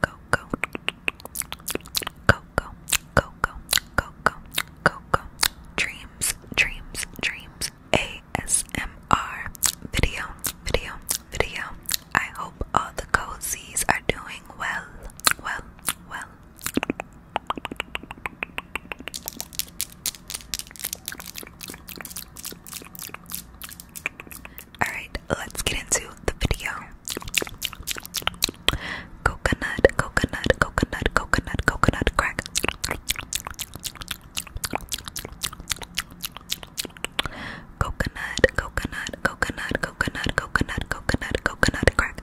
go go Coco, Coco, Coco. Dreams, dreams, dreams. ASMR video, video, video. I hope all the cozies are doing well, well, well. Alright, let's get into the video. Coconut, coconut, coconut, coconut, coconut crack. Coconut, coconut, coconut, coconut, coconut, coconut, coconut crack.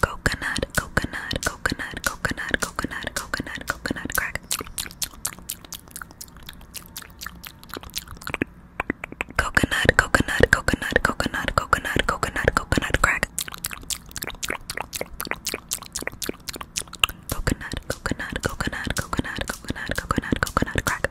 coconut, coconut, coconut, coconut, coconut, coconut, coconut crack. Coconut, coconut, coconut, coconut, coconut, coconut, coconut crack. Coconut, coconut, coconut, coconut, coconut, coconut, coconut crack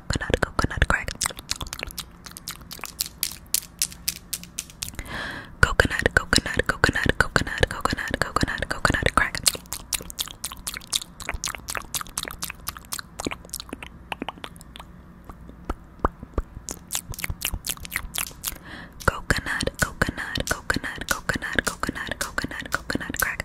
coconut, coconut crack. Coconut, coconut, coconut, coconut, coconut, coconut, coconut crack. Coconut, coconut, coconut, coconut, coconut, coconut, coconut crack.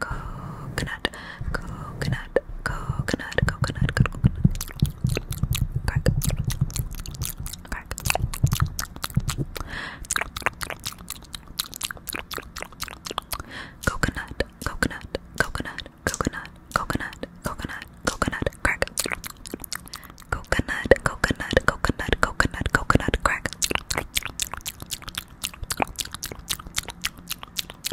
coconut, coconut, coconut, coconut, coconut, coconut, crack, crack. Coconut, coconut, coconut, coconut, coconut, coconut, coconut, crack. Coconut, coconut, coconut, coconut, coconut, crack.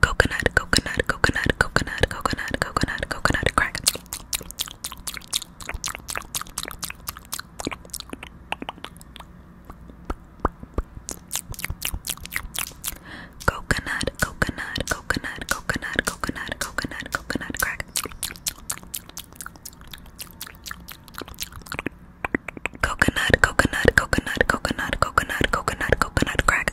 Coconut, coconut, coconut, coconut, coconut, coconut, coconut, crack. Coconut, coconut, coconut, coconut, coconut, coconut, coconut, crack. Coconut, coconut, coconut, coconut, coconut, coconut, coconut, crack.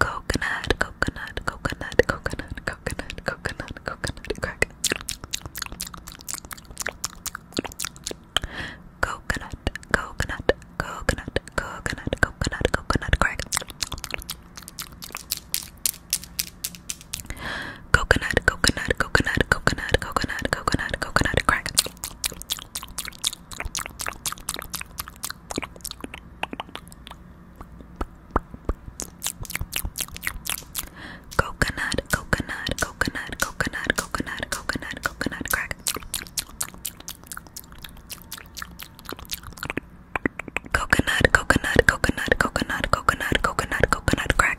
Coconut, coconut, coconut, coconut, coconut, coconut, coconut, crack. Coconut, coconut, coconut, coconut, coconut, coconut, crack. Coconut, coconut, coconut, coconut, coconut, coconut, coconut, crack. Coconut, coconut, coconut, coconut, coconut, coconut, coconut crack. Coconut, coconut, coconut, coconut, coconut, coconut, coconut crack.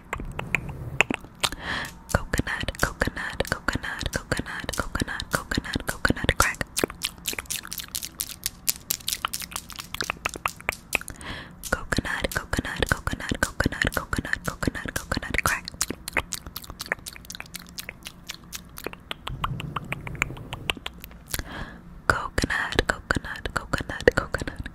Coconut, coconut, coconut, coconut, coconut, coconut, coconut crack. Coconut, coconut, coconut, coconut, coconut, coconut, coconut crack. Coconut, coconut, coconut, coconut,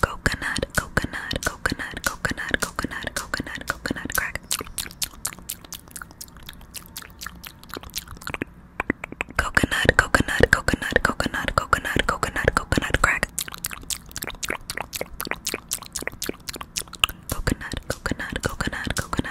Coconut, coconut, coconut, coconut, coconut, coconut, coconut crack. Coconut, coconut, coconut, coconut, coconut, coconut, coconut crack. Coconut, coconut, coconut, coconut, coconut, coconut, coconut crack.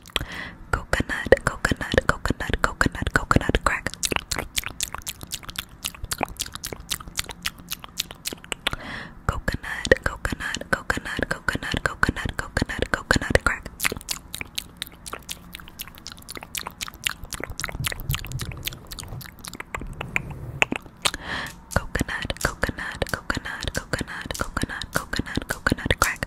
Coconut, coconut, coconut, coconut, coconut crack. Coconut, coconut, coconut, coconut, coconut, coconut, coconut crack. Coconut, coconut, coconut, coconut, coconut, coconut, coconut crack.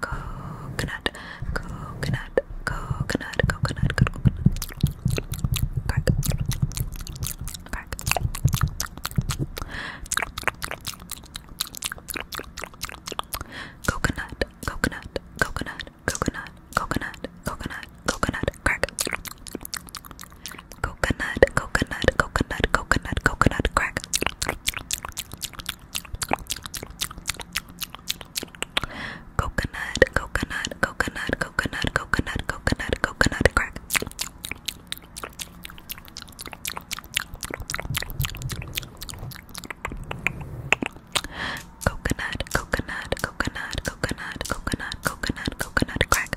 coconut, coconut, coconut, coconut, coconut, crack, crack. Coconut, coconut, coconut, coconut, coconut, coconut, coconut, crack. Coconut, coconut, coconut, coconut, coconut, crack. Coconut, coconut, coconut, coconut, coconut, coconut, coconut crack. Coconut, coconut, coconut, coconut, coconut, coconut, coconut crack.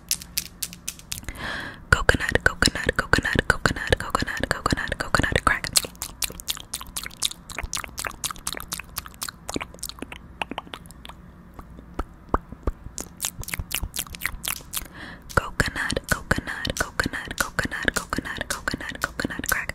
Coconut, coconut, coconut, coconut, coconut, coconut, coconut, crack. Coconut, coconut, coconut, coconut, coconut, coconut, coconut, crack.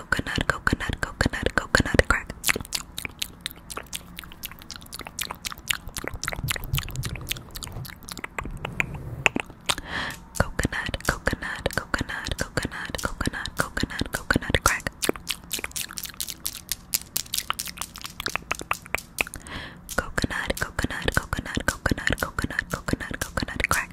coconut, coconut, coconut, coconut crack. Coconut, coconut, coconut, coconut, coconut, coconut, coconut crack. Coconut, coconut, coconut, coconut, coconut, coconut, coconut crack.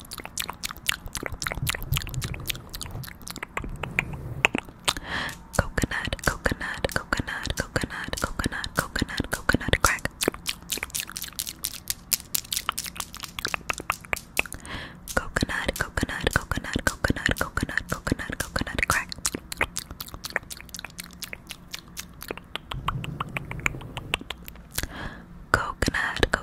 Coconut, coconut, coconut, coconut, coconut, coconut, coconut crack. Coconut, coconut, coconut, coconut, coconut, coconut, coconut crack. Coconut, coconut,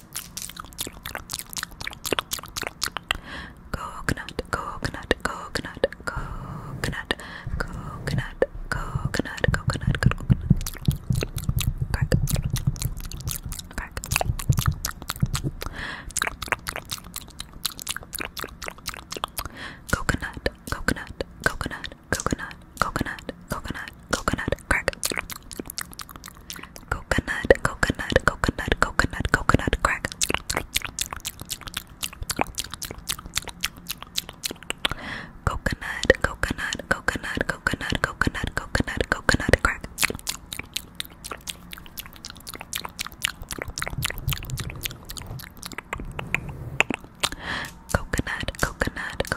Coconut, coconut, coconut, coconut, coconut, coconut, coconut, coconut. Crack. Coconut, coconut, coconut, coconut, coconut, coconut, coconut, crack. Coconut, coconut, coconut, coconut, coconut, crack. Coconut, coconut, coconut, coconut, coconut, coconut, coconut, crack. Coconut, coconut,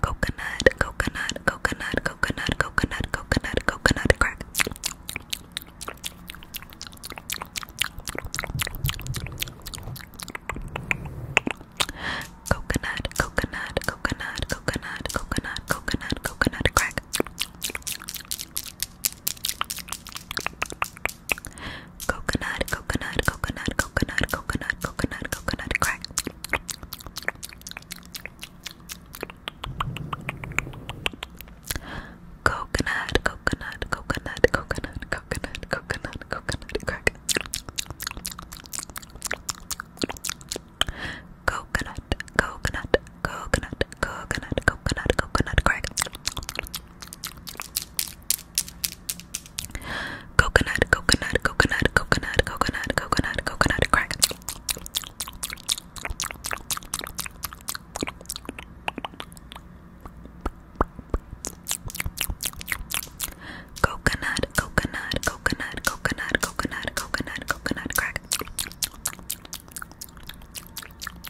Coconut, coconut, coconut, coconut, coconut, coconut, coconut crack. Coconut, coconut, coconut, coconut, coconut, coconut, coconut crack. Coconut, coconut, coconut, coconut, coconut, coconut, coconut, crack. Coconut, coconut, coconut, coconut, coconut, coconut, coconut, crack. Coconut, coconut, coconut, coconut, coconut, coconut, crack. Coconut, coconut, coconut, coconut, coconut, coconut, coconut, crack. Coconut, coconut, coconut, coconut, coconut, coconut, coconut, crack.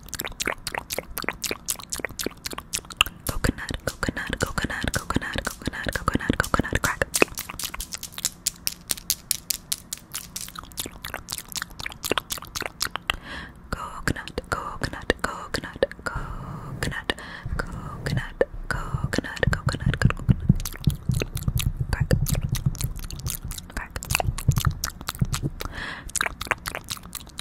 Coconut, coconut, coconut, coconut, coconut, coconut, coconut crack. Coconut, coconut, coconut, coconut, coconut, coconut, coconut, coconut, crack, crack.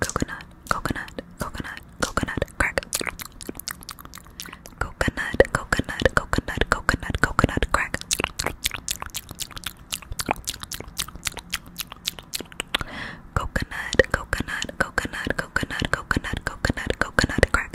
coconut, coconut, coconut, coconut, coconut, crack. Coconut, coconut, coconut, coconut, coconut, crack. Coconut, coconut, coconut, coconut, coconut, coconut, coconut, crack.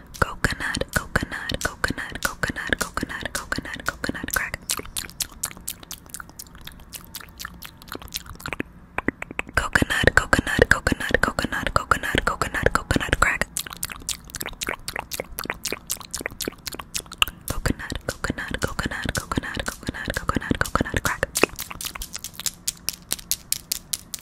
coconut, coconut, coconut, coconut, coconut, coconut, coconut crack. Coconut, coconut, coconut, coconut, coconut, coconut, coconut crack. Coconut, coconut, coconut, coconut, coconut, coconut, coconut crack.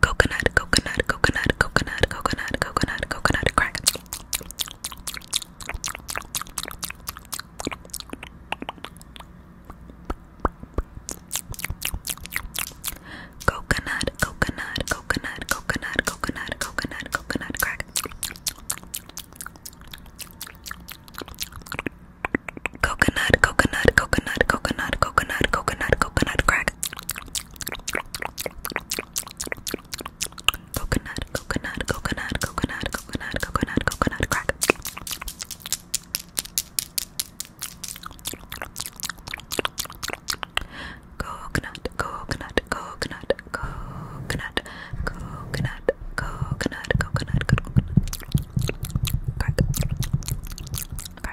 Coconut, coconut, coconut, coconut, coconut, coconut, coconut, crack. Coconut, coconut, coconut, coconut, coconut, coconut, coconut, crack. Coconut, coconut, coconut, coconut, coconut, coconut, coconut, crack. Coconut, coconut, coconut, coconut, coconut, coconut, coconut, crack. Coconut, coconut, coconut, coconut, coconut, coconut, coconut, coconut, crack. Crack,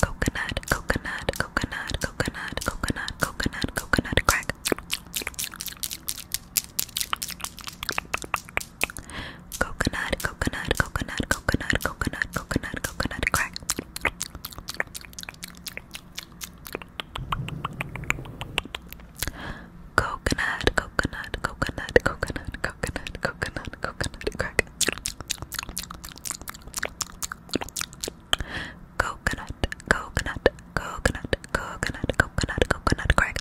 Coconut, coconut, coconut, coconut, coconut, coconut, coconut crack. Coconut, coconut, coconut, coconut, coconut, coconut, coconut crack. Coconut, coconut, coconut, coconut, coconut, coconut, coconut crack. Coconut, coconut, coconut, coconut, coconut, coconut crack.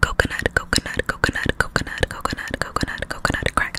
Coconut, coconut, coconut, coconut, coconut, coconut, coconut crack.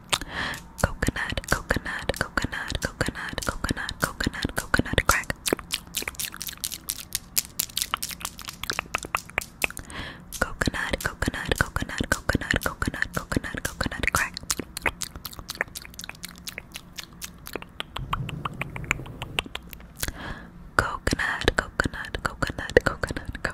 Coconut, coconut, coconut, coconut, coconut, coconut, coconut crack. Coconut, coconut, coconut, coconut, coconut, coconut, coconut crack. Coconut, coconut, coconut, coconut,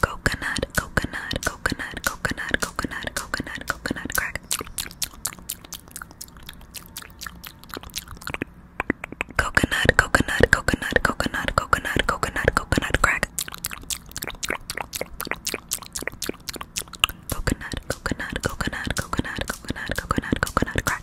Coconut, coconut, coconut, coconut, coconut, coconut, coconut crack. Coconut, coconut, coconut, coconut, coconut, coconut, coconut crack. Coconut, coconut, coconut, coconut, coconut, coconut, coconut crack.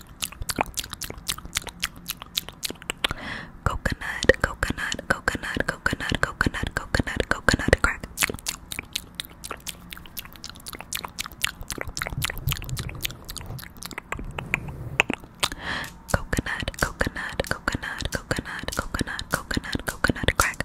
Coconut, coconut, coconut, coconut, coconut, coconut, coconut crack. Coconut, coconut, coconut, coconut, coconut, coconut, coconut crack.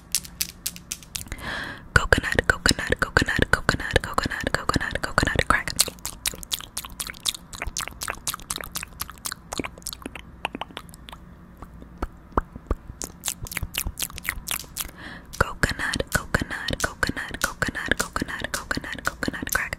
Coconut, coconut, coconut, coconut, coconut, coconut, coconut crack. Coconut, coconut, coconut, coconut, coconut, coconut, coconut crack.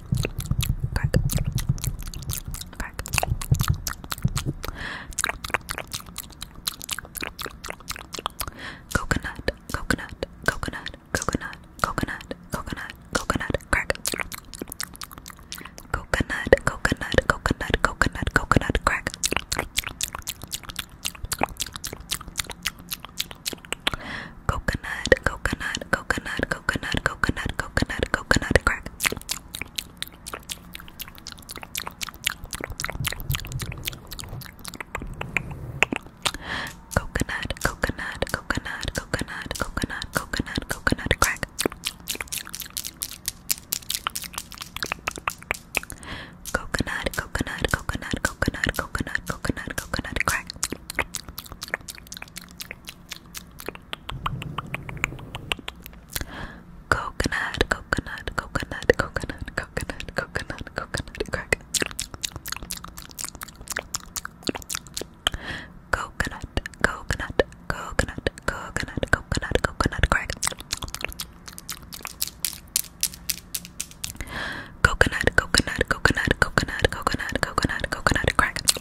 Coconut, coconut, coconut, coconut, coconut, coconut, coconut, crack. Coconut, coconut, coconut, coconut, coconut, crack. Coconut, coconut, coconut, coconut, coconut, coconut, coconut, coconut crack. Coconut, coconut, coconut, coconut, coconut, coconut, coconut crack. Coconut, coconut, coconut, coconut, coconut, coconut, coconut crack. Coconut, coconut, coconut, coconut, coconut, coconut, coconut, crack. Coconut, coconut, coconut, coconut, coconut, coconut, crack. Coconut, coconut, coconut, coconut, coconut, coconut, coconut, crack.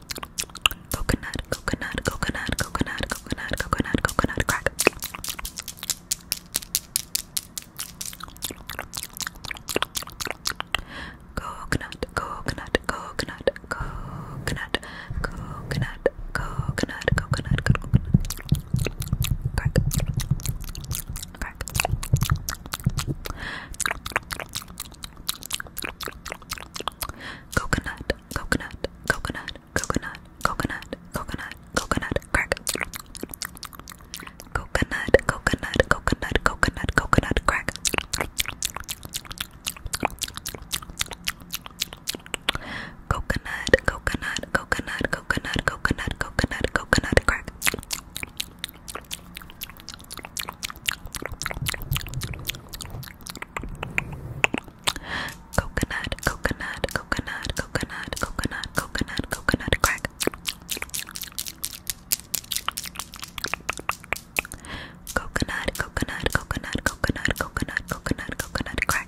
Coconut, coconut, coconut, coconut, coconut, coconut, coconut, crack. Coconut, coconut, coconut, coconut, coconut, coconut, coconut, coconut, crack, crack. Coconut, coconut, coconut, coconut, coconut, coconut, coconut, crack. Coconut, coconut, coconut, coconut, coconut, crack. Coconut, coconut, coconut, coconut, coconut, coconut, coconut, crack. Coconut, coconut, coconut, coconut, coconut, coconut, coconut crack. Coconut, coconut, coconut, coconut, coconut, coconut, coconut crack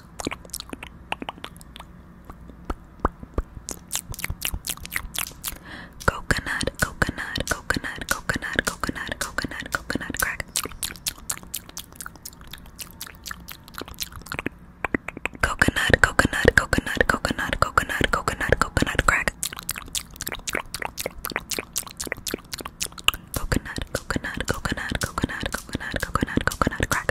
Coconut, coconut, coconut, coconut, coconut, coconut, coconut crack. Coconut, coconut, coconut, coconut, coconut, coconut, coconut crack. Coconut, coconut, coconut, coconut, coconut, coconut, coconut crack.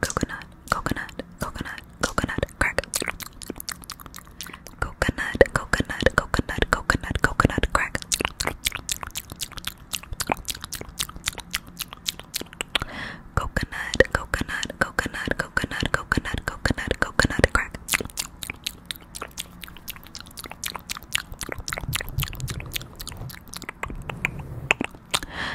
coconut, coconut, coconut, coconut, crack. Coconut, coconut, coconut, coconut, coconut, crack. Coconut, coconut, coconut, coconut, coconut, coconut, coconut, crack.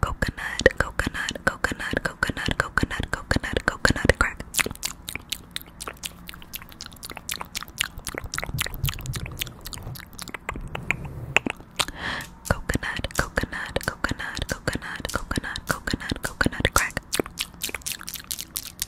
Coconut, coconut, coconut, coconut, coconut, coconut, coconut crack. Coconut, coconut, coconut, coconut, coconut, coconut, coconut crack.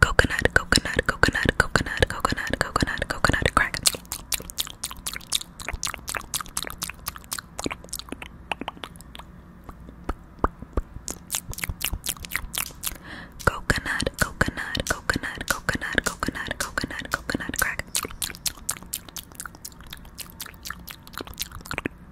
Coconut, coconut, coconut, coconut, coconut, coconut, coconut, crack. Coconut, coconut, coconut, coconut, coconut, coconut, coconut, crack.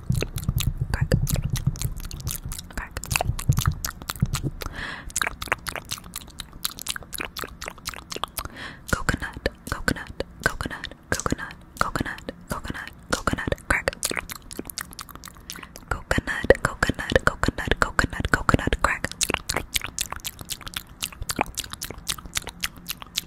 Crack. Crack. Coconut, coconut, coconut, coconut, coconut, coconut, coconut, crack. Coconut, coconut, coconut, coconut, coconut, crack.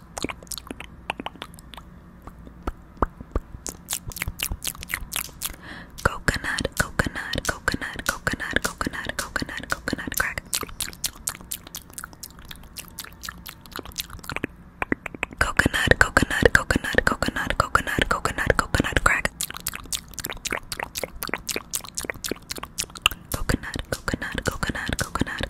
Coconut, coconut, coconut, coconut, coconut, coconut, coconut crack. Coconut, coconut, coconut, coconut, coconut, coconut, coconut crack. Coconut, coconut, coconut, coconut,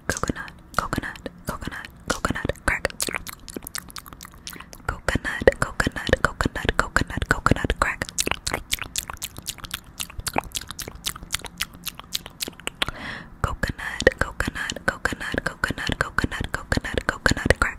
coconut, coconut, coconut, coconut, crack. Coconut, coconut, coconut, coconut, coconut, crack. Coconut, coconut, coconut, coconut, coconut, coconut, coconut, crack.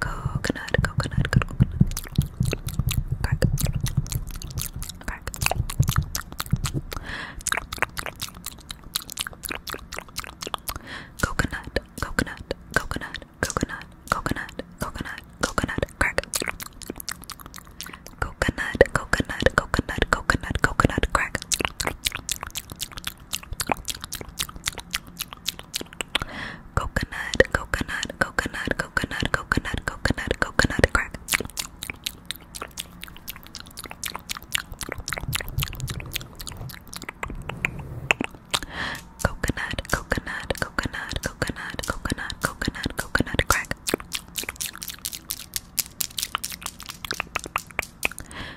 coconut, coconut, coconut, coconut, crack, crack. Coconut, coconut, coconut, coconut, coconut, coconut, coconut, crack. Coconut, coconut, coconut, coconut, coconut, crack. Coconut, coconut, coconut, coconut, coconut, coconut, coconut crack. Coconut, coconut, coconut, coconut, coconut, coconut, coconut crack.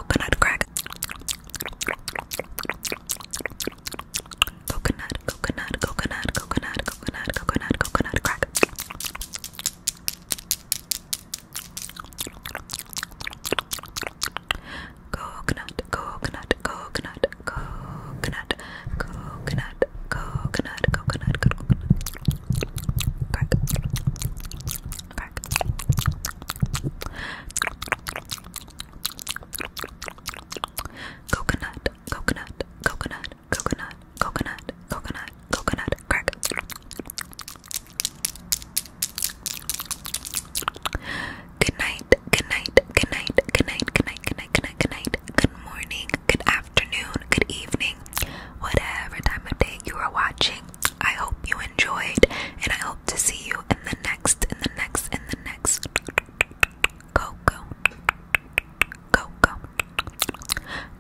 coconut crack. Coconut, coconut, coconut, coconut, coconut, coconut, coconut crack. Coconut, coconut, coconut, coconut, coconut, coconut, coconut, coconut, crack. Coconut, coconut, coconut, coconut, coconut, coconut, coconut, crack. Good night, good night, good night, good night, good night, good night, good night, good night, good morning, good afternoon, good evening, whatever time of day you are watching. I hope you enjoyed, and I hope to see you in the next, in the next, in the next. Go, go, go, go, go, go,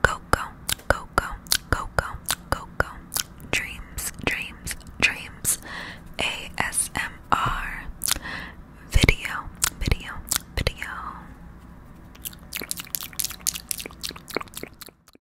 go, go, go, go, go, go. Dreams, dreams, dreams. ASMR video, video, video.